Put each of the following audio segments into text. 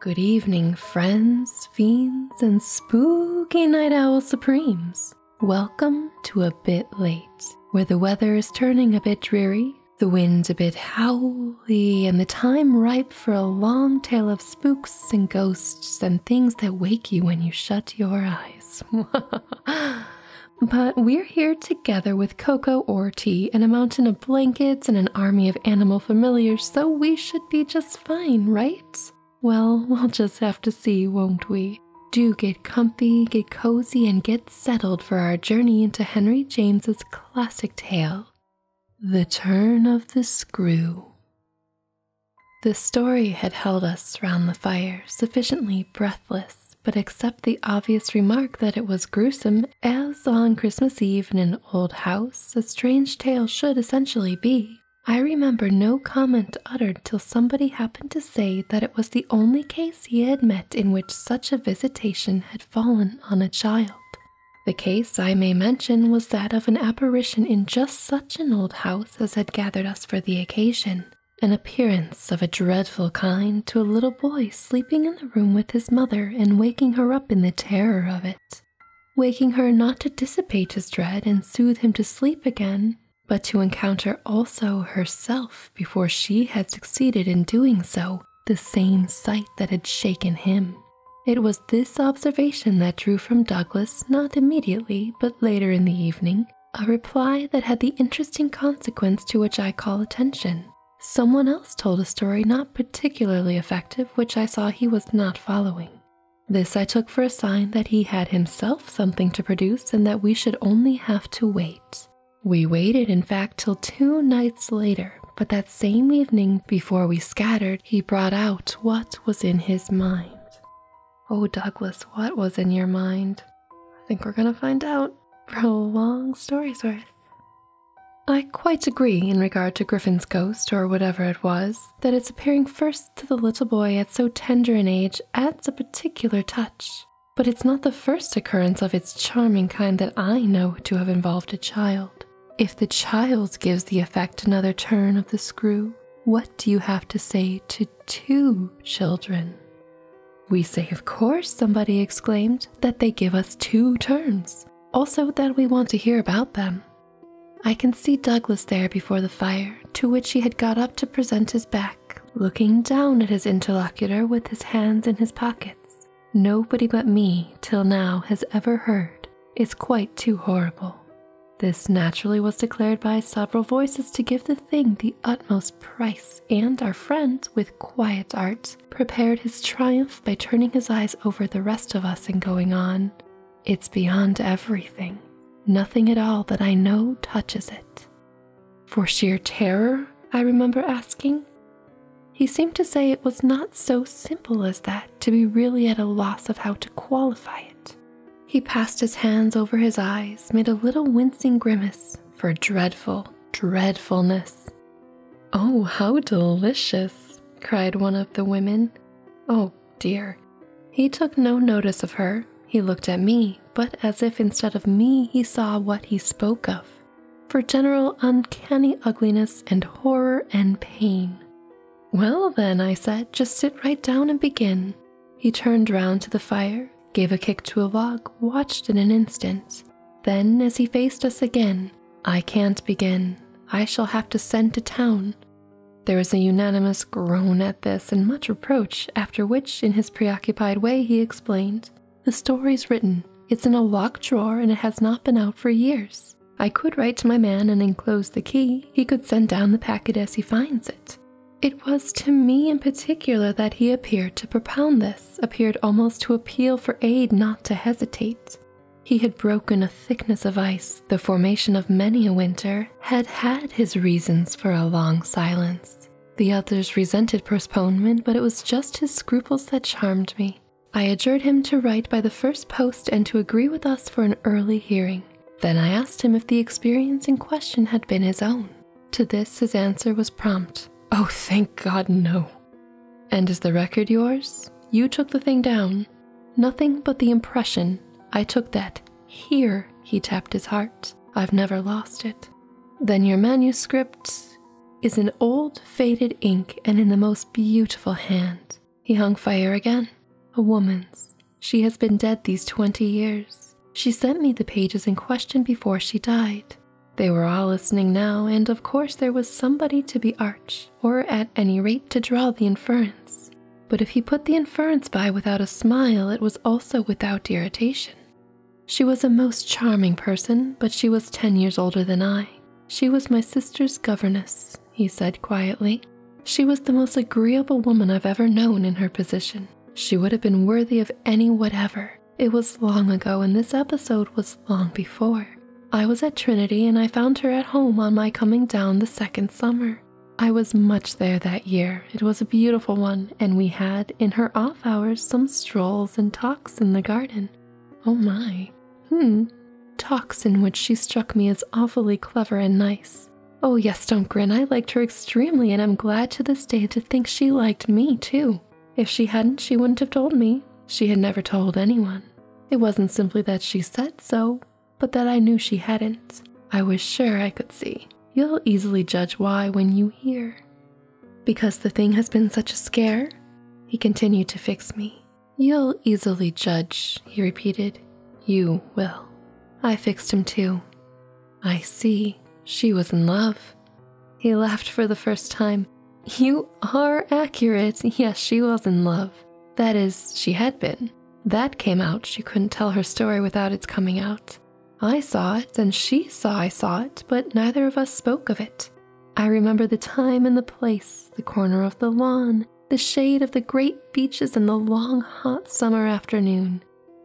Good evening, friends, fiends, and spooky night owl supremes. Welcome to A Bit Late, where the weather is turning a bit dreary, the wind a bit howly, and the time ripe for a long tale of spooks and ghosts and things that wake you when you shut your eyes. but we're here together with cocoa or tea and a mountain of blankets and an army of animal familiars, so we should be just fine, right? Well, we'll just have to see, won't we? Do get comfy, get cozy, and get settled for our journey into Henry James's classic tale, The Turn of the Screw. The story had held us round the fire, sufficiently breathless, but except the obvious remark that it was gruesome as on Christmas Eve in an old house, a strange tale should essentially be. I remember no comment uttered till somebody happened to say that it was the only case he had met in which such a visitation had fallen on a child. The case I may mention was that of an apparition in just such an old house as had gathered us for the occasion, an appearance of a dreadful kind to a little boy sleeping in the room with his mother and waking her up in the terror of it, waking her not to dissipate his dread and soothe him to sleep again, but to encounter also herself before she had succeeded in doing so the same sight that had shaken him. It was this observation that drew from Douglas, not immediately, but later in the evening, a reply that had the interesting consequence to which I call attention. Someone else told a story not particularly effective, which I saw he was not following. This I took for a sign that he had himself something to produce and that we should only have to wait. We waited, in fact, till two nights later, but that same evening, before we scattered, he brought out what was in his mind. Oh, Douglas, what was in your mind? I think we're gonna find out for a long story's worth. I quite agree in regard to Griffin's ghost, or whatever it was, that its appearing first to the little boy at so tender an age adds a particular touch. But it's not the first occurrence of its charming kind that I know to have involved a child. If the child gives the effect another turn of the screw, what do you have to say to two children? We say, of course, somebody exclaimed, that they give us two turns also that we want to hear about them. I can see Douglas there before the fire, to which he had got up to present his back, looking down at his interlocutor with his hands in his pockets. Nobody but me, till now, has ever heard. Is quite too horrible. This naturally was declared by several voices to give the thing the utmost price, and our friend, with quiet art, prepared his triumph by turning his eyes over the rest of us and going on, It's beyond everything. Nothing at all that I know touches it. For sheer terror, I remember asking. He seemed to say it was not so simple as that to be really at a loss of how to qualify it. He passed his hands over his eyes, made a little wincing grimace for dreadful dreadfulness, Oh, how delicious! cried one of the women. Oh dear. He took no notice of her. He looked at me, but as if instead of me he saw what he spoke of. For general uncanny ugliness and horror and pain. Well, then, I said, just sit right down and begin. He turned round to the fire, gave a kick to a log, watched in an instant. Then, as he faced us again, I can't begin. I shall have to send to town. There was a unanimous groan at this and much reproach, after which, in his preoccupied way, he explained, The story's written. It's in a locked drawer and it has not been out for years. I could write to my man and enclose the key. He could send down the packet as he finds it. It was to me in particular that he appeared to propound this appeared almost to appeal for aid not to hesitate. He had broken a thickness of ice, the formation of many a winter had had his reasons for a long silence. The others resented postponement, but it was just his scruples that charmed me. I adjured him to write by the first post and to agree with us for an early hearing. Then I asked him if the experience in question had been his own. To this, his answer was prompt Oh, thank God, no. And is the record yours? You took the thing down. Nothing but the impression. I took that. Here, he tapped his heart. I've never lost it. Then your manuscript is in old faded ink and in the most beautiful hand. He hung fire again. A woman's. She has been dead these twenty years. She sent me the pages in question before she died. They were all listening now, and of course there was somebody to be arch, or at any rate to draw the inference. But if he put the inference by without a smile, it was also without irritation. She was a most charming person, but she was ten years older than I. She was my sister's governess, he said quietly. She was the most agreeable woman I've ever known in her position. She would have been worthy of any whatever, it was long ago, and this episode was long before. I was at Trinity and I found her at home on my coming down the second summer. I was much there that year. It was a beautiful one, and we had, in her off hours, some strolls and talks in the garden. Oh my. hm, Talks in which she struck me as awfully clever and nice. Oh, yes, don't grin. I liked her extremely, and I'm glad to this day to think she liked me, too. If she hadn't, she wouldn't have told me. She had never told anyone. It wasn't simply that she said so, but that I knew she hadn't. I was sure I could see. You'll easily judge why when you hear. Because the thing has been such a scare, he continued to fix me. You'll easily judge, he repeated. You will. I fixed him too. I see. She was in love. He laughed for the first time. You are accurate. Yes, she was in love. That is, she had been. That came out. She couldn't tell her story without its coming out. I saw it, and she saw I saw it, but neither of us spoke of it. I remember the time and the place, the corner of the lawn, the shade of the great beeches, and the long, hot summer afternoon.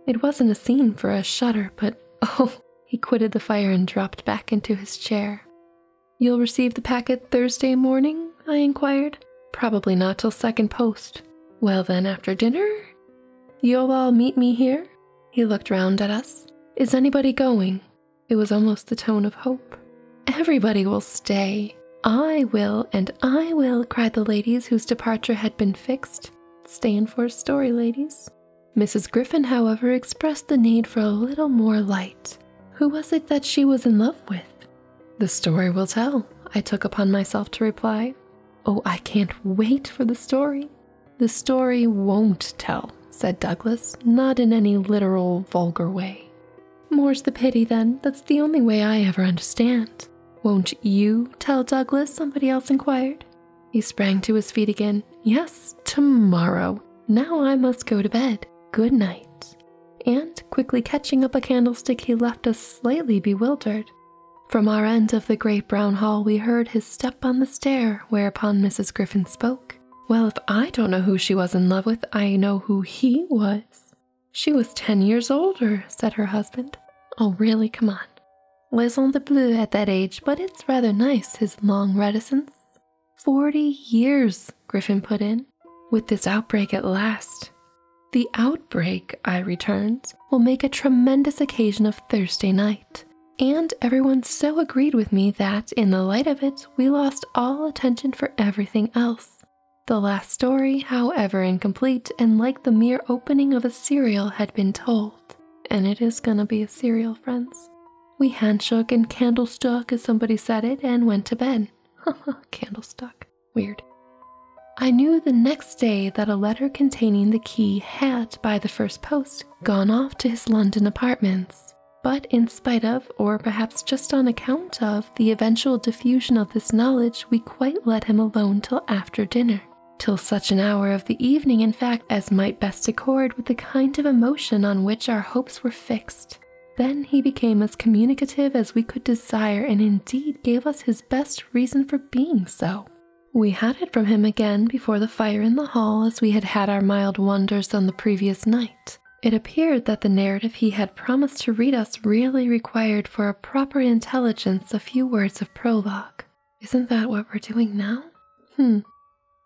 It wasn't a scene for a shudder, but oh, he quitted the fire and dropped back into his chair. You'll receive the packet Thursday morning? I inquired. Probably not till second post. Well, then, after dinner? You'll all meet me here? He looked round at us. Is anybody going? It was almost the tone of hope. Everybody will stay. I will, and I will, cried the ladies whose departure had been fixed. for a story, ladies. Mrs. Griffin, however, expressed the need for a little more light. Who was it that she was in love with? The story will tell, I took upon myself to reply. Oh, I can't wait for the story. The story won't tell, said Douglas, not in any literal, vulgar way. More's the pity, then. That's the only way I ever understand. Won't you tell Douglas? somebody else inquired. He sprang to his feet again. Yes, tomorrow. Now I must go to bed. Good night. And, quickly catching up a candlestick, he left us slightly bewildered. From our end of the great brown hall, we heard his step on the stair, whereupon Mrs. Griffin spoke. Well, if I don't know who she was in love with, I know who he was. She was ten years older, said her husband. Oh, really? Come on was on the blue at that age, but it's rather nice, his long reticence. Forty years, Griffin put in, with this outbreak at last. The outbreak, I returned, will make a tremendous occasion of Thursday night. And everyone so agreed with me that, in the light of it, we lost all attention for everything else. The last story, however incomplete and like the mere opening of a serial, had been told. And it is gonna be a serial, friends. We handshook and candle stuck, as somebody said it, and went to bed. Candle stuck, Weird. I knew the next day that a letter containing the key had, by the first post, gone off to his London apartments. But in spite of, or perhaps just on account of, the eventual diffusion of this knowledge, we quite let him alone till after dinner, till such an hour of the evening, in fact, as might accord with the kind of emotion on which our hopes were fixed. Then he became as communicative as we could desire, and indeed gave us his best reason for being so. We had it from him again before the fire in the hall, as we had had our mild wonders on the previous night. It appeared that the narrative he had promised to read us really required for a proper intelligence a few words of prologue. Isn't that what we're doing now? Hmm,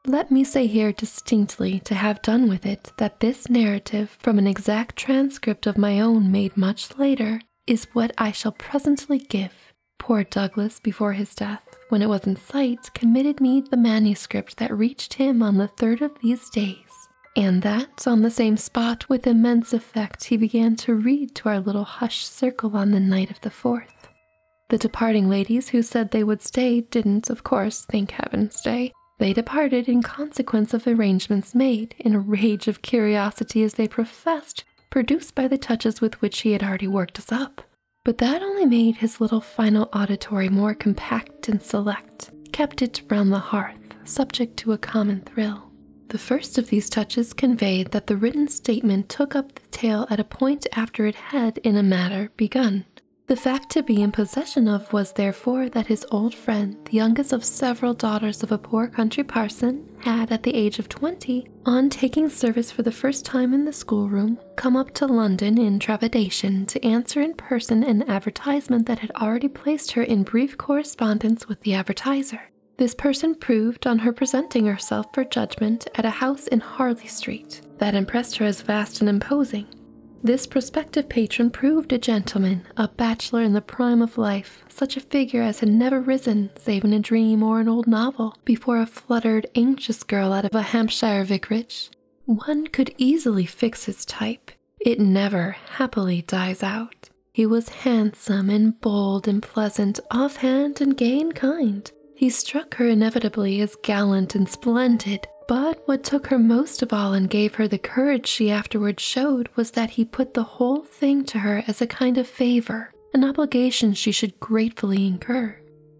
let me say here distinctly, to have done with it, that this narrative, from an exact transcript of my own made much later, is what I shall presently give. Poor Douglas, before his death, when it was in sight, committed me the manuscript that reached him on the third of these days, and that, on the same spot, with immense effect, he began to read to our little hushed circle on the night of the fourth. The departing ladies who said they would stay didn't, of course, thank heaven stay. They departed in consequence of arrangements made, in a rage of curiosity as they professed, produced by the touches with which he had already worked us up. But that only made his little final auditory more compact and select, kept it round the hearth, subject to a common thrill. The first of these touches conveyed that the written statement took up tail at a point after it had, in a matter, begun. The fact to be in possession of was therefore that his old friend, the youngest of several daughters of a poor country parson, had, at the age of twenty, on taking service for the first time in the schoolroom, come up to London in trepidation to answer in person an advertisement that had already placed her in brief correspondence with the advertiser. This person proved, on her presenting herself, for judgment at a house in Harley Street that impressed her as vast and imposing. This prospective patron proved a gentleman, a bachelor in the prime of life, such a figure as had never risen, save in a dream or an old novel, before a fluttered, anxious girl out of a Hampshire vicarage. One could easily fix his type. It never, happily, dies out. He was handsome and bold and pleasant, offhand and gay and kind, he struck her inevitably as gallant and splendid, but what took her most of all and gave her the courage she afterwards showed was that he put the whole thing to her as a kind of favor, an obligation she should gratefully incur.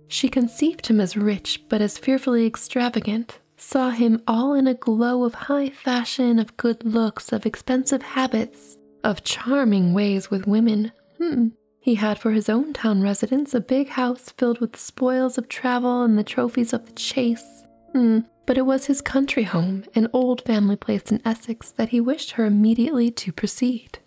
She conceived him as rich but as fearfully extravagant, saw him all in a glow of high fashion, of good looks, of expensive habits, of charming ways with women. Hmm. He had for his own town residence a big house filled with spoils of travel and the trophies of the chase. Hmm, but it was his country home, an old family place in Essex, that he wished her immediately to proceed.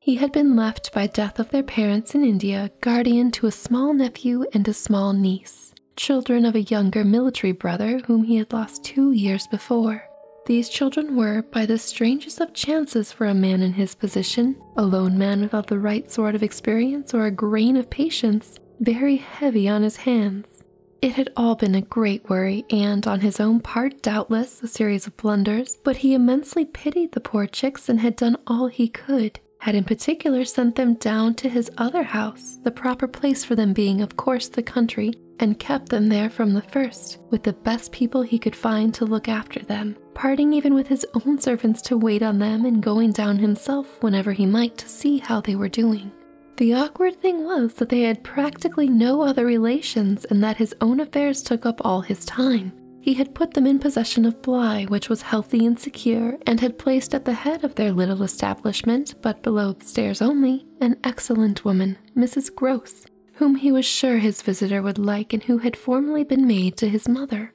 He had been left by death of their parents in India guardian to a small nephew and a small niece, children of a younger military brother whom he had lost two years before. These children were, by the strangest of chances for a man in his position, a lone man without the right sort of experience or a grain of patience, very heavy on his hands. It had all been a great worry, and on his own part, doubtless, a series of blunders, but he immensely pitied the poor chicks and had done all he could, had in particular sent them down to his other house, the proper place for them being, of course, the country, and kept them there from the first, with the the best people he could find to look after them, parting even with his own servants to wait on them and going down himself whenever he might to see how they were doing. The awkward thing was that they had practically no other relations and that his own affairs took up all his time. He had put them in possession of Bly, which was healthy and secure, and had placed at the head of their little establishment, but below the stairs only, an excellent woman, Mrs. Gross, whom he was sure his visitor would like and who had formerly been maid to his mother.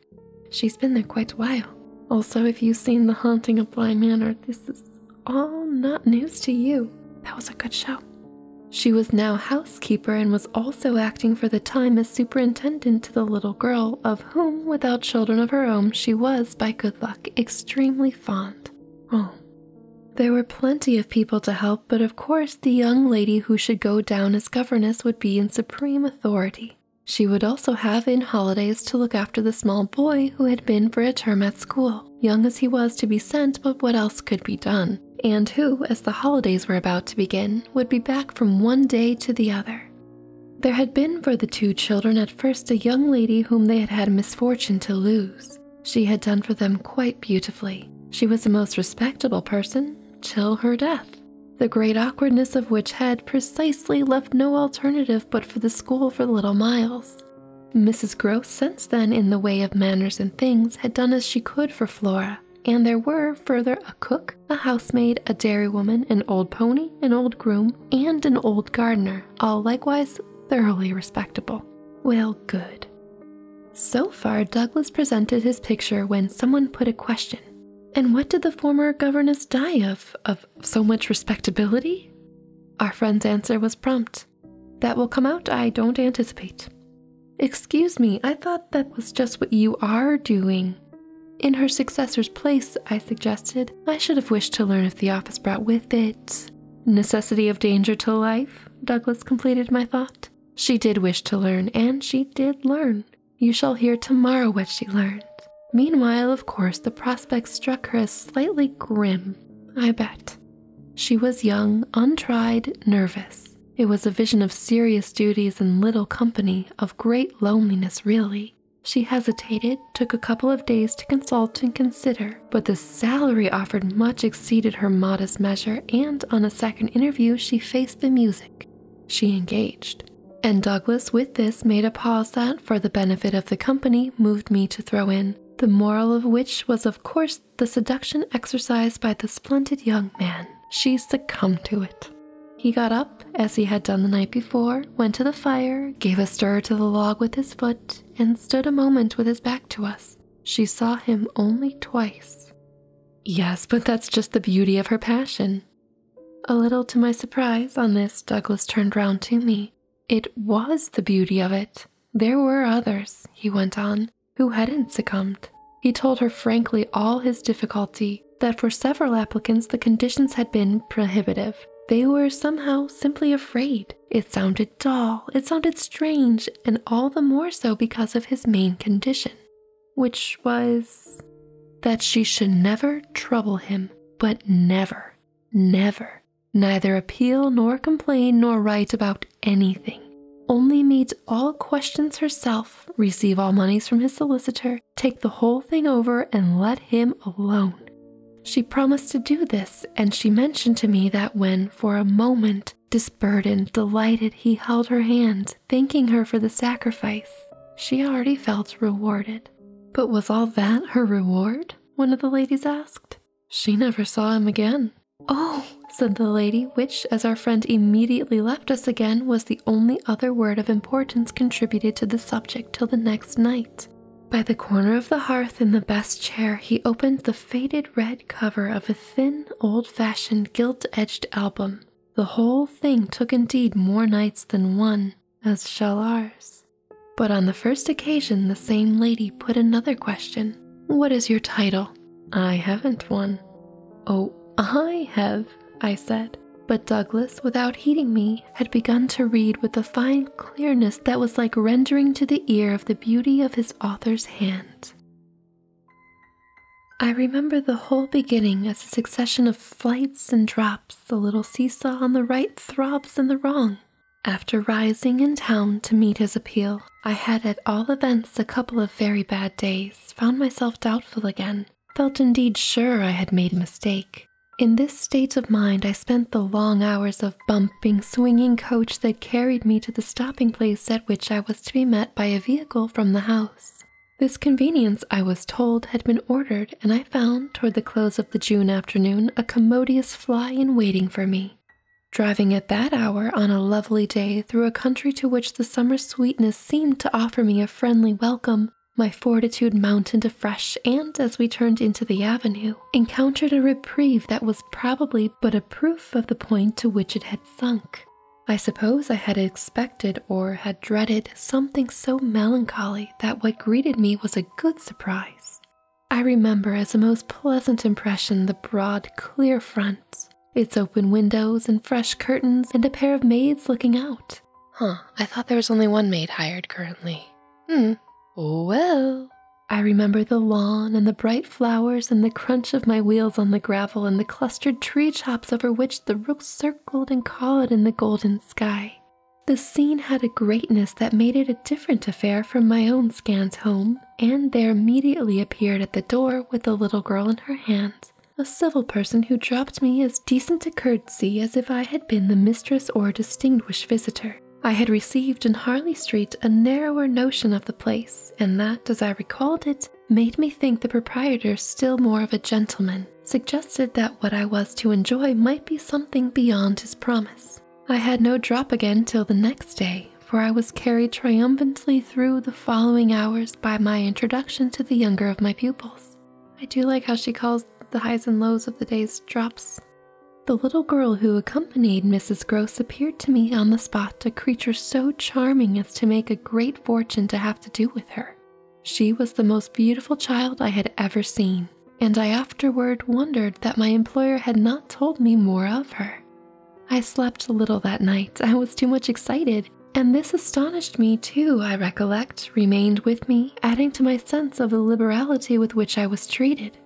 She's been there quite a while. Also, if you've seen The Haunting of Bly Manor, this is all not news to you. That was a good show. She was now housekeeper and was also acting for the time as superintendent to the little girl, of whom, without children of her own, she was, by good luck, extremely fond. Oh. There were plenty of people to help, but of course the young lady who should go down as governess would be in supreme authority. She would also have in holidays to look after the small boy who had been for a term at school, young as he was to be sent, but what else could be done? And who, as the holidays were about to begin, would be back from one day to the other. There had been for the two children at first a young lady whom they had had misfortune to lose. She had done for them quite beautifully. She was a most respectable person till her death, the great awkwardness of which had precisely left no alternative but for the school for little Miles. Mrs. Gross, since then, in the way of manners and things, had done as she could for Flora, and there were, further, a cook, a housemaid, a dairywoman, an old pony, an old groom, and an old gardener, all likewise thoroughly respectable. Well, good. So far, Douglas presented his picture when someone put a question. And what did the former governess die of? Of so much respectability? Our friend's answer was prompt. That will come out, I don't anticipate. Excuse me, I thought that was just what you are doing. In her successor's place, I suggested, I should have wished to learn if the office brought with it. Necessity of danger to life, Douglas completed my thought she did wish to learn, and she did learn. You shall hear tomorrow what she learned. Meanwhile, of course, the prospect struck her as slightly grim, I bet. She was young, untried, nervous. It was a vision of serious duties and little company, of great loneliness, really. She hesitated, took a couple of days to consult and consider, but the salary offered much exceeded her modest measure, and on a second interview, she faced the music. She engaged. And Douglas, with this, made a pause that, for the benefit of the company, moved me to throw in, the moral of which was, of course, the seduction exercised by the splendid young man. She succumbed to it. He got up, as he had done the night before, went to the fire, gave a stir to the log with his foot, and stood a moment with his back to us. She saw him only twice. Yes, but that's just the beauty of her passion. A little to my surprise, on this, Douglas turned round to me. It was the beauty of it. There were others, he went on, who hadn't succumbed. He told her frankly all his difficulty, that for several applicants the conditions had been prohibitive. They were somehow simply afraid it. sounded dull, it sounded strange, and all the more so because of his main condition, which was that she should never trouble him, but never, never, neither appeal nor complain nor write about anything. Only meet all questions herself, receive all monies from his solicitor, take the whole thing over, and let him alone. She promised to do this, and she mentioned to me that when, for a moment, disburdened, delighted, he held her hand, thanking her for the sacrifice. She already felt rewarded. But was all that her reward? One of the ladies asked. She never saw him again. Oh, said the lady, which, as our friend immediately left us again, was the only other word of importance contributed to the subject till the next night. By the corner of the hearth in the best chair, he opened the faded red cover of a thin, old fashioned, gilt edged album. The whole thing took indeed more nights than one, as shall ours. But on the first occasion, the same lady put another question What is your title? I haven't one. Oh, I have, I said. But Douglas, without heeding me, had begun to read with a fine clearness that was like rendering to the ear of the beauty of his author's hand. I remember the whole beginning as a succession of flights and drops, the little seesaw on the right throbs and the wrong. After rising in town to meet his appeal, I had at all events a couple of very bad days, found myself doubtful again, felt indeed sure I had made a mistake. In this state of mind, I spent the long hours of bum thumping, swinging coach that carried me to the stopping place at which I was to be met by a vehicle from the house. This convenience, I was told, had been ordered, and I found, toward the close of the June afternoon, a commodious fly in waiting for me. Driving at that hour on a lovely day through a country to which the summer sweetness seemed to offer me a friendly welcome, my fortitude mounted afresh, and as we turned into the avenue, encountered a reprieve that was probably but a proof of the point to which it had sunk. I suppose I had expected or had dreaded something so melancholy that what greeted me was a good surprise. I remember as a most pleasant impression the broad, clear front, its open windows and fresh curtains, and a pair of maids looking out. Huh, I thought there was only one maid hired currently. Hmm, well, I remember the lawn and the bright flowers and the crunch of my wheels on the gravel and the clustered tree tops over which the rooks circled and called in the golden sky. The scene had a greatness that made it a different affair from my own scant home, and there immediately appeared at the door, with a little girl in her hands, a civil person who dropped me as decent a courtesy as if I had been the mistress or a distinguished visitor. I had received in Harley Street a narrower notion of the place, and that, as I recalled it, made me think the proprietor still more of a gentleman, suggested that what I was to enjoy might be something beyond his promise. I had no drop again till the next day, for I was carried triumphantly through the following hours by my introduction to the younger of my pupils. I do like how she calls the highs and lows of the day's drops the little girl who accompanied Mrs. Gross appeared to me on the spot a creature so charming as to make a great fortune to have to do with her. She was the most beautiful child I had ever seen, and I afterward wondered that my employer had not told me more of her. I slept little that night, I was too much excited, and this astonished me too, I recollect, remained with me, adding to my sense of the liberality with which I was treated.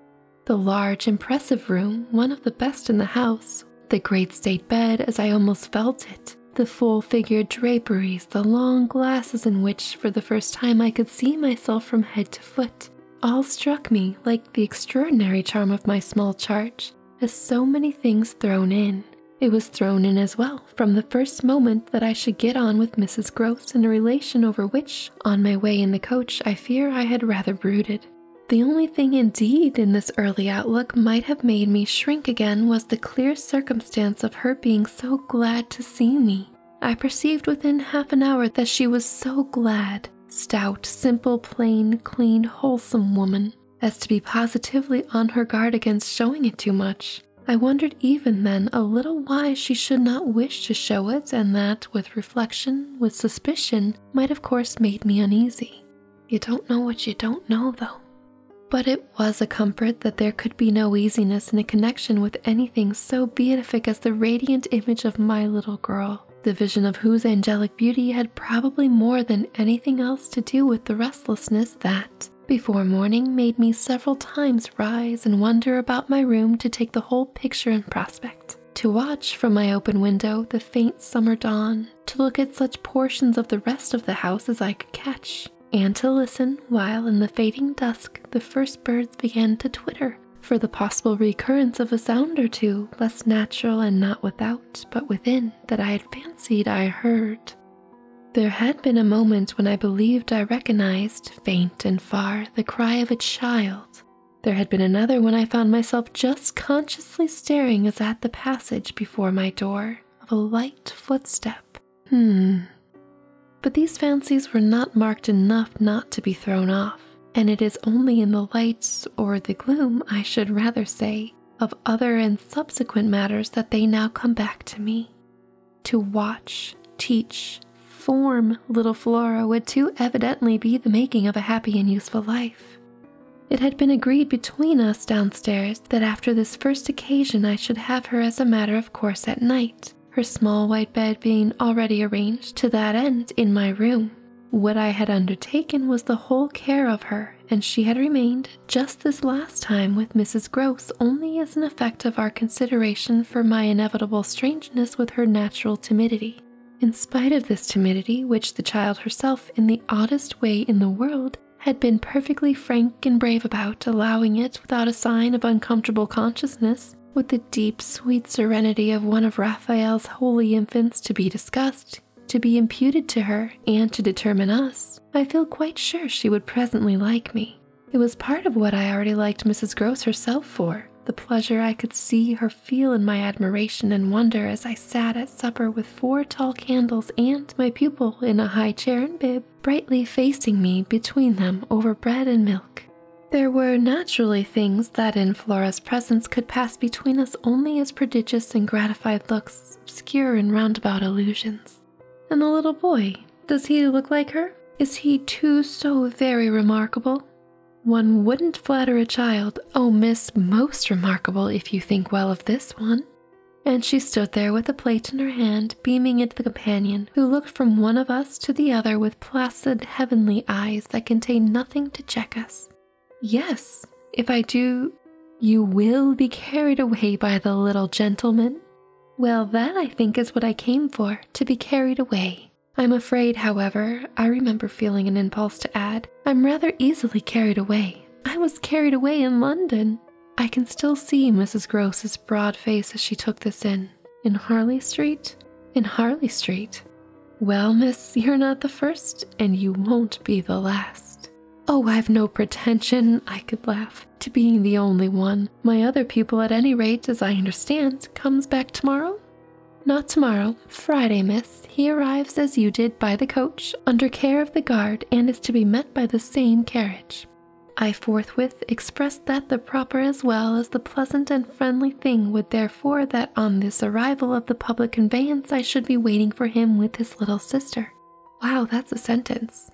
The large, impressive room, one of the best in the house, the great state bed as I almost felt it, the full figured draperies, the long glasses in which, for the first time, I could see myself from head to foot, all struck me like the extraordinary charm of my small charge, as so many things thrown in. It was thrown in as well from the first moment that I should get on with Mrs. Gross in a relation over which on my way in the coach, I fear I had rather brooded. The only thing, indeed, in this early outlook might have made me shrink again was the clear circumstance of her being so glad to see me. I perceived within half an hour that she was so glad, stout, simple, plain, clean, wholesome woman, as to be positively on her guard against showing it too much. I wondered even then a little why she should not wish to show it, and that, with reflection with suspicion might, of course, made me uneasy. You don't know what you don't know, though. But it was a comfort that there could be no easiness in a connection with anything so beatific as the radiant image of my little girl, the vision of whose angelic beauty had probably more than anything else to do with the restlessness that, before morning, made me several times rise and wander about my room to take the whole picture in prospect to watch from my open window the faint summer dawn, to look at such portions of the rest of the house as I could catch, and to listen while in the fading dusk the first birds began to twitter for the possible recurrence of a sound or two, less natural and not without, but within, that I had fancied I heard. There had been a moment when I believed I recognized, faint and far, the cry of a child, there had been another when I found myself just consciously staring as at the passage before my door of a light footstep. Hmm. But these fancies were not marked enough not to be thrown off, and it is only in the lights or the gloom, I should rather say, of other and subsequent matters that they now come back to me. To watch, teach, form, little Flora would too evidently be the making of a happy and useful life. It had been agreed between us downstairs that after this first occasion I should have her as a matter of course at night, her small white bed being already arranged to that end in my room. What I had undertaken was the whole care of her, and she had remained just this last time with Mrs. Gross only as an effect of our consideration for my inevitable strangeness with her natural timidity. In spite of this timidity, which the child herself, in the oddest way in the world, had been perfectly frank and brave about, allowing it without a sign of uncomfortable consciousness, with the deep, sweet serenity of one of Raphael's holy infants to be discussed, to be imputed to her, and to determine us, I feel quite sure she would presently like me. It was part of what I already liked Mrs. Gross herself for, the pleasure I could see her feel in my admiration and wonder as I sat at supper with four tall candles and my pupil in a high chair and bib brightly facing me between them over bread and milk. There were naturally things that in Flora's presence could pass between us only as prodigious and gratified looks, obscure and roundabout allusions. And the little boy, does he look like her? Is he too so very remarkable? One wouldn't flatter a child. Oh, miss, most remarkable if you think well of this one. And she stood there with a plate in her hand, beaming at the companion, who looked from one of us to the other with placid, heavenly eyes that contained nothing to check us. Yes, if I do, you will be carried away by the little gentleman. Well, that I think is what I came for, to be carried away. I'm afraid, however, I remember feeling an impulse to add, I'm rather easily carried away. I was carried away in London. I can still see Mrs. Gross's broad face as she took this in. In Harley Street? In Harley Street. Well, miss, you're not the first, and you won't be the last. Oh, I've no pretension, I could laugh, to being the only one my other pupil, at any rate, as I understand, comes back tomorrow? Not tomorrow, Friday, miss. He arrives as you did by the coach, under care of the guard, and is to be met by the same carriage. I forthwith expressed that the proper as well as the pleasant and friendly thing would therefore that on this arrival of the public conveyance I should be waiting for him with his little sister. Wow, that's a sentence.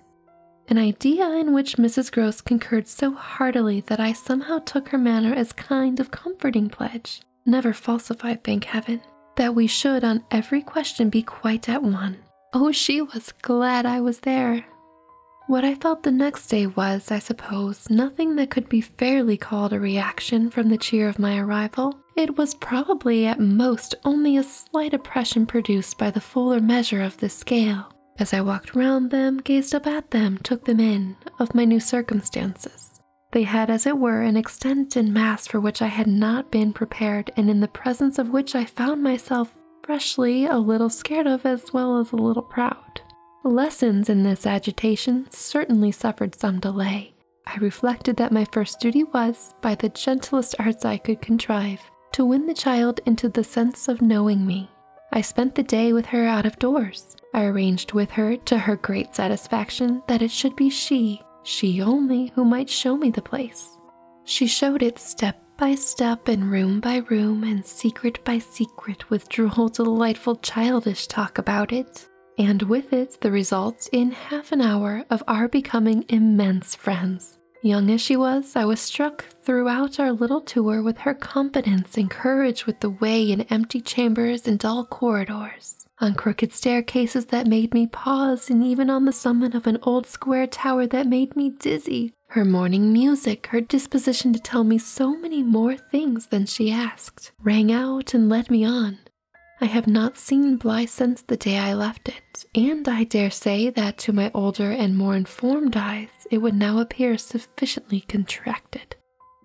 An idea in which Mrs. Gross concurred so heartily that I somehow took her manner as kind of comforting pledge, never falsified, thank heaven, that we should on every question be quite at one. Oh, she was glad I was there. What I felt the next day was, I suppose, nothing that could be fairly called a reaction from the cheer of my arrival. It was probably at most only a slight oppression produced by the fuller measure of the scale. As I walked round them, gazed up at them, took them in, of my new circumstances. They had, as it were, an extent and mass for which I had not been prepared, and in the presence of which I found myself freshly a little scared of as well as a little proud. Lessons in this agitation certainly suffered some delay. I reflected that my first duty was, by the gentlest arts I could contrive, to win the child into the sense of knowing me, I spent the day with her out of doors. I arranged with her, to her great satisfaction, that it should be she, she only, who might show me the place. She showed it step by step and room by room and secret by secret with droll, delightful, childish talk about it, and with it the results in half an hour of our becoming immense friends. Young as she was, I was struck throughout our little tour with her confidence and courage with the way in empty chambers and dull corridors, on crooked staircases that made me pause, and even on the summit of an old square tower that made me dizzy. Her morning music, her disposition to tell me so many more things than she asked, rang out and led me on. I have not seen Bly since the day I left it, and I dare say that to my older and more informed eyes it would now appear sufficient sufficiently contracted.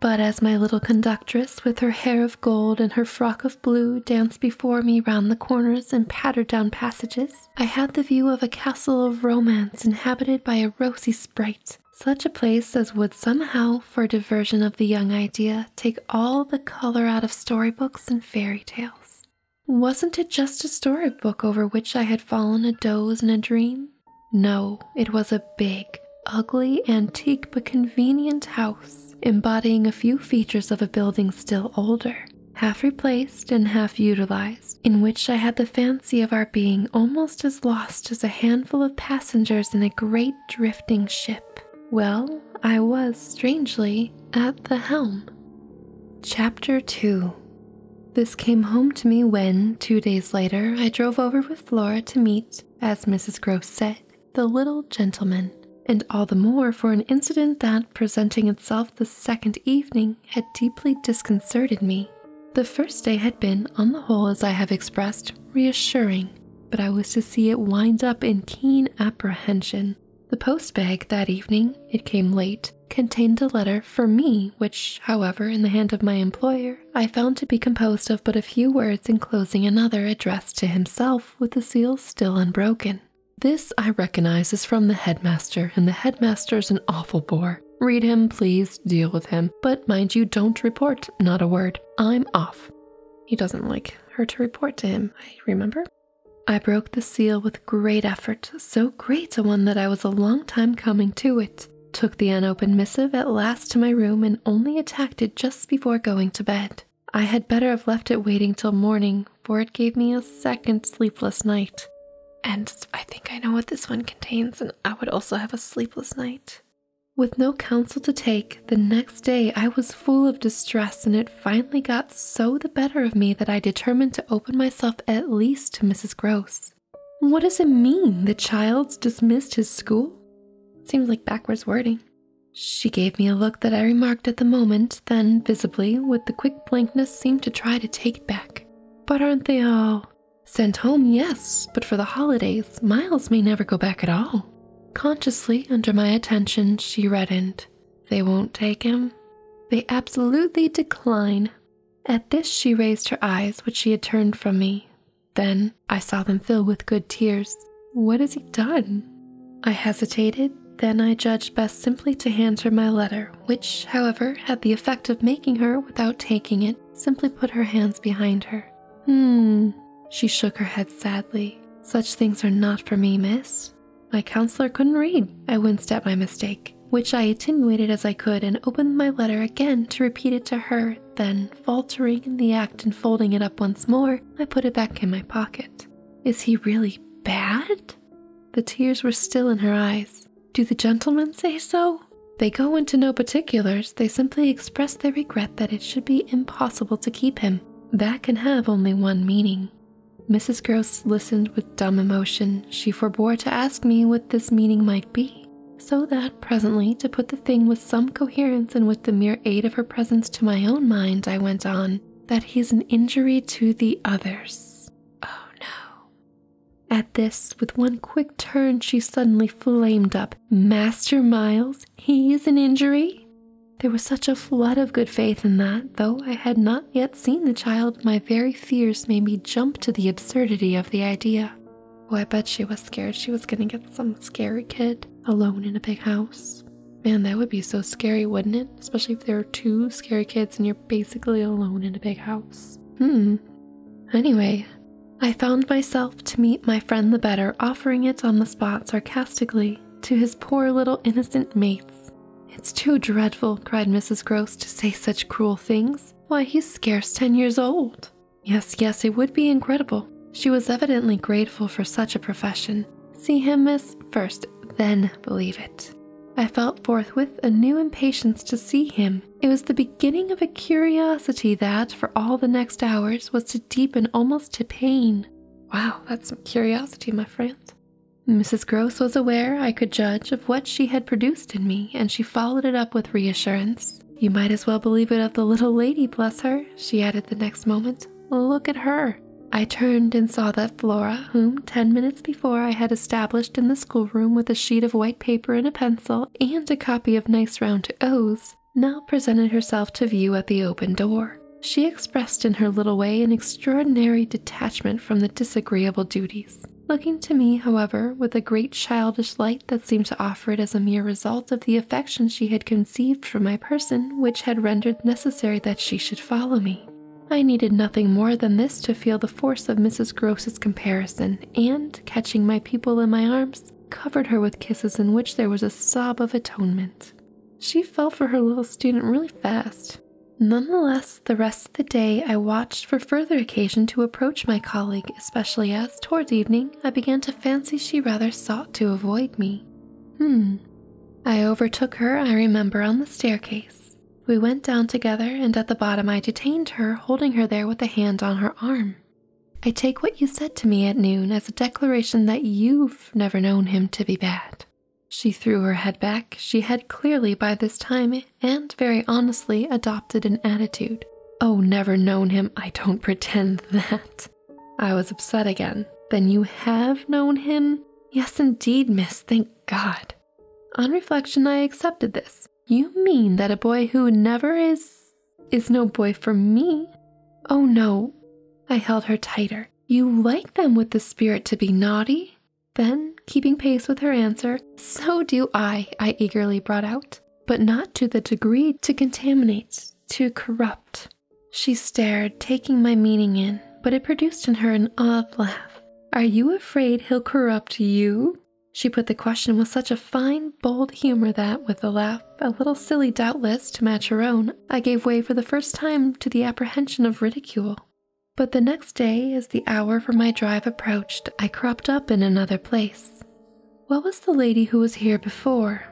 But as my little conductress, with her hair of gold and her frock of blue, danced before me round the corners and pattered down passages, I had the view of a castle of romance inhabited by a rosy sprite, such a place as would somehow, for diversion of the young idea, take all the color out of story books and fairy tales. Wasn't it just a story book over which I had fallen a doze in a dream? No, it was a big, ugly, antique, but convenient house, embodying a few features of a building still older, half replaced and half utilized, in which I had the fancy of our being almost as lost as a handful of passengers in a great drifting ship. Well, I was, strangely, at the helm. Chapter 2 this came home to me when, two days later, I drove over with Flora to meet, as Mrs. Grose said, the little gentleman, and all the more for an incident that, presenting itself the second evening, had deeply disconcerted me. The first day had been, on the whole, as I have expressed, reassuring, but I was to see it wind up in keen apprehension. The post bag that evening, it came late, contained a letter for me, which, however, in the hand of my employer, I found to be composed of but a few words enclosing another addressed to himself, with the seal still unbroken. This I recognize as from the headmaster, and the headmaster's an awful bore. Read him, please, deal with him, but mind you, don't report, not a word. I'm off. He doesn't like her to report to him, I remember. I broke the seal with great effort, so great a one that I was a long time coming to it took the unopened missive at last to my room, and only attacked it just before going to bed. I had better have left it waiting till morning, for it gave me a second sleepless night. And I think I know what this one contains, and I would also have a sleepless night. With no counsel to take, the next day I was full of distress, and it finally got so the better of me that I determined to open myself at least to Mrs. Gross. What does it mean? The child's dismissed his school? Seems like backwards wording. She gave me a look that I remarked at the moment, then visibly, with the quick blankness, seemed to try to take it back. But aren't they all? Sent home, yes, but for the holidays, Miles may never go back at all. Consciously, under my attention, she reddened. They won't take him. They absolutely decline. At this, she raised her eyes, which she had turned from me. Then I saw them fill with good tears. What has he done? I hesitated, then I judged best simply to hand her my letter, which, however, had the effect of making her, without taking it, simply put her hands behind her. Hmm. She shook her head sadly. Such things are not for me, miss. My counselor couldn't read. I winced at my mistake which I attenuated as I could and opened my letter again to repeat it to her. Then, faltering in the act and folding it up once more, I put it back in my pocket. Is he really bad? The tears were still in her eyes. Do the gentlemen say so? They go into no particulars, they simply express their regret that it should be impossible to keep him. That can have only one meaning. Mrs. Gross listened with dumb emotion, she forbore to ask me what this meaning might be, so that presently, to put the thing with some coherence and with the mere aid of her presence to my own mind, I went on, that he's an injury to the others. Oh no. At this, with one quick turn, she suddenly flamed up. Master Miles, he is an injury? There was such a flood of good faith in that, though I had not yet seeing the child, my very fears made me jump to the absurdity of the idea. Oh, I bet she was scared she was gonna get some scary kid alone in a big house. Man, that would be so scary, wouldn't it? Especially if there are two scary kids and you're basically alone in a big house. Hmm. Anyway, I found myself to meet my friend the better, offering it on the spot sarcastically to his poor little innocent mates. It's too dreadful, cried Mrs. Gross, to say such cruel things. Why, he's scarce ten years old. Yes, yes, it would be incredible. She was evidently grateful for such a profession. See him, miss, first, then believe it. I felt forthwith a new impatience to see him. It was the beginning of a curiosity that, for all the next hours, was to deepen almost to pain. Wow, that's some curiosity, my friend. Mrs. Gross was aware, I could judge, of what she had produced in me, and she followed it up with reassurance. You might as well believe it of the little lady, bless her, she added the next moment. Look at her. I turned and saw that Flora, whom ten minutes before I had established in the schoolroom with a sheet of white paper and a pencil and a copy of nice round O's, now presented herself to view at the open door. She expressed in her little way an extraordinary detachment from the disagreeable duties looking to me, however, with a great childish light that seemed to offer it as a mere result of the affection she had conceived for my person, which had rendered necessary that she should follow me. I needed nothing more than this to feel the force of Mrs. Gross's comparison, and, catching my pupil in my arms, covered her with kisses in which there was a sob of atonement. She fell for her little student really fast, Nonetheless, the rest of the day I watched for further occasion to approach my colleague, especially as, towards evening, I began to fancy she rather sought to avoid me. Hmm. I overtook her, I remember, on the staircase. We went down together, and at the bottom I detained her, holding her there with a hand on her arm. I take what you said to me at noon as a declaration that you've never known him to be bad. She threw her head back. She had clearly by this time, and very honestly, adopted an attitude. Oh, never known him. I don't pretend that. I was upset again. Then you have known him? Yes, indeed, miss. Thank God. On reflection, I accepted this. You mean that a boy who never is. is no boy for me? Oh, no. I held her tighter. You like them with the spirit to be naughty? Then, keeping pace with her answer, so do I, I eagerly brought out, but not to the degree to contaminate, to corrupt. She stared, taking my meaning in, but it produced in her an odd laugh. Are you afraid he'll corrupt you? She put the question with such a fine, bold humor that, with a laugh, a little silly doubtless, to match her own, I gave way for the first time to the apprehension of ridicule. But the next day, as the hour for my drive approached, I cropped up in another place. What was the lady who was here before?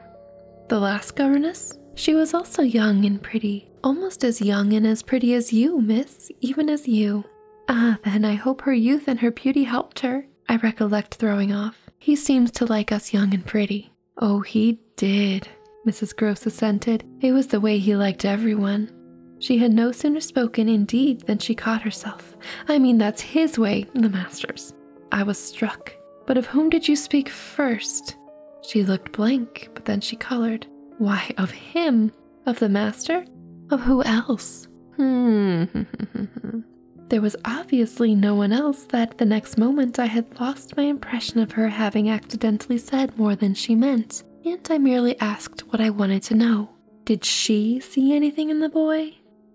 The last governess? She was also young and pretty, almost as young and as pretty as you, miss, even as you. Ah, then I hope her youth and her beauty helped her, I recollect throwing off. He seems to like us young and pretty. Oh, he did, Mrs. Gross assented. It was the way he liked everyone. She had no sooner spoken, indeed, than she caught herself. I mean, that's his way, the master's. I was struck. But of whom did you speak first? She looked blank, but then she colored. Why, of him? Of the master? Of who else? Hmm. there was obviously no one else that the next moment I had lost my impression of her having accidentally said more than she meant and I merely asked what I wanted to know. Did she see anything in the boy?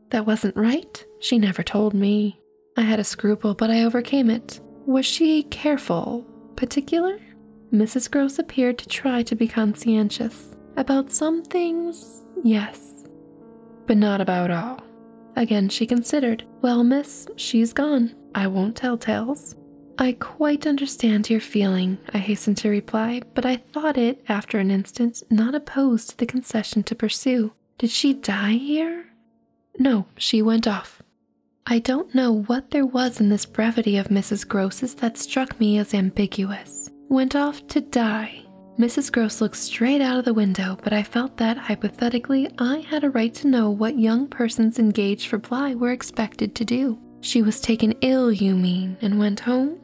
That wasn't right. She never told me. I had a scruple, but I overcame it. Was she careful, particular? Mrs. Gross appeared to try to be conscientious. About some things, yes, but not about all. Again, she considered, Well, miss, she's gone. I won't tell tales. I quite understand your feeling, I hastened to reply, but I thought it, after an instant, not opposed to the concession to pursue. Did she die here? No, she went off. I don't know what there was in this brevity of Mrs. Gross's that struck me as ambiguous. Went off to die. Mrs. Gross looked straight out of the window, but I felt that, hypothetically, I had a right to know what young persons engaged for Bly were expected to do. She was taken ill, you mean, and went home?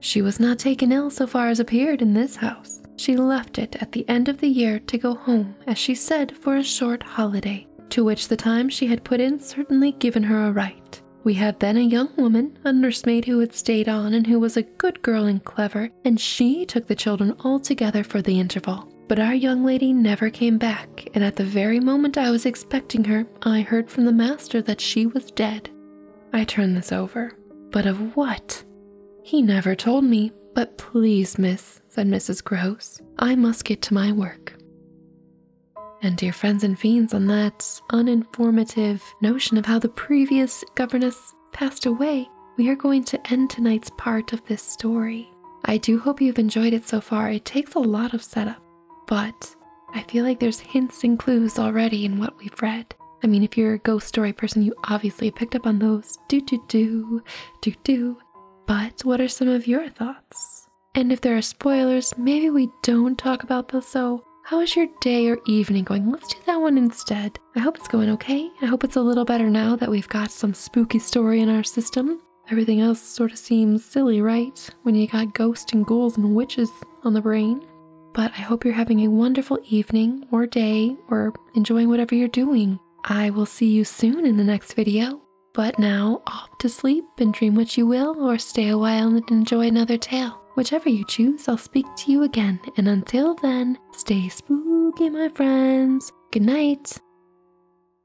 She was not taken ill so far as appeared in this house. She left it at the end of the year to go home, as she said, for a short holiday, to which the time she had put in certainly given her a right. We had then a young woman, a nursemaid who had stayed on and who was a good girl and clever, and she took the children all together for the interval. But our young lady never came back, and at the very moment I was expecting her, I heard from the master that she was dead. I turned this over. But of what? He never told me. But please, miss, said Mrs. Gross, I must get to my work. And dear friends and fiends, on that uninformative notion of how the previous governess passed away, we are going to end tonight's part of this story. I do hope you've enjoyed it so far. It takes a lot of setup, but I feel like there's hints and clues already in what we've read. I mean, if you're a ghost story person, you obviously picked up on those. Do, do, do, do, do. But what are some of your thoughts? And if there are spoilers, maybe we don't talk about those, so how is your day or evening going? Let's do that one instead. I hope it's going okay. I hope it's a little better now that we've got some spooky story in our system. Everything else sort of seems silly, right? When you got ghosts and ghouls and witches on the brain. But I hope you're having a wonderful evening or day or enjoying whatever you're doing. I will see you soon in the next video. But now, off to sleep and dream what you will, or stay a while and enjoy another tale. Whichever you choose, I'll speak to you again. And until then, stay spooky, my friends. Good night.